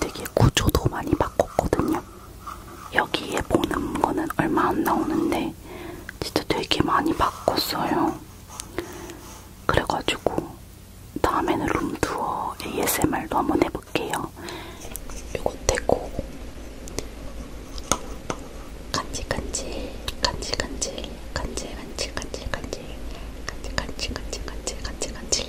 되게 구조도 많이 바꿨거든요. 여기에 보는 거는 얼마 안 나오는데 진짜 되게 많이 바꿨어요. 그래가지고 다음에는 룸투어 ASMR도 한번 해볼게요. 요거 떼고 간질간질 간질간질 간질간질 간질간질 간질간질 간질간질 간질간질 간질간질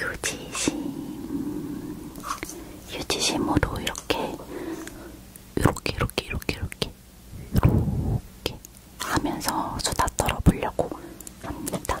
유지심 유지심으로 이렇게 이렇게 이렇게 이렇게 이렇게 이렇게 하면서 수다 떨어보려고 합니다.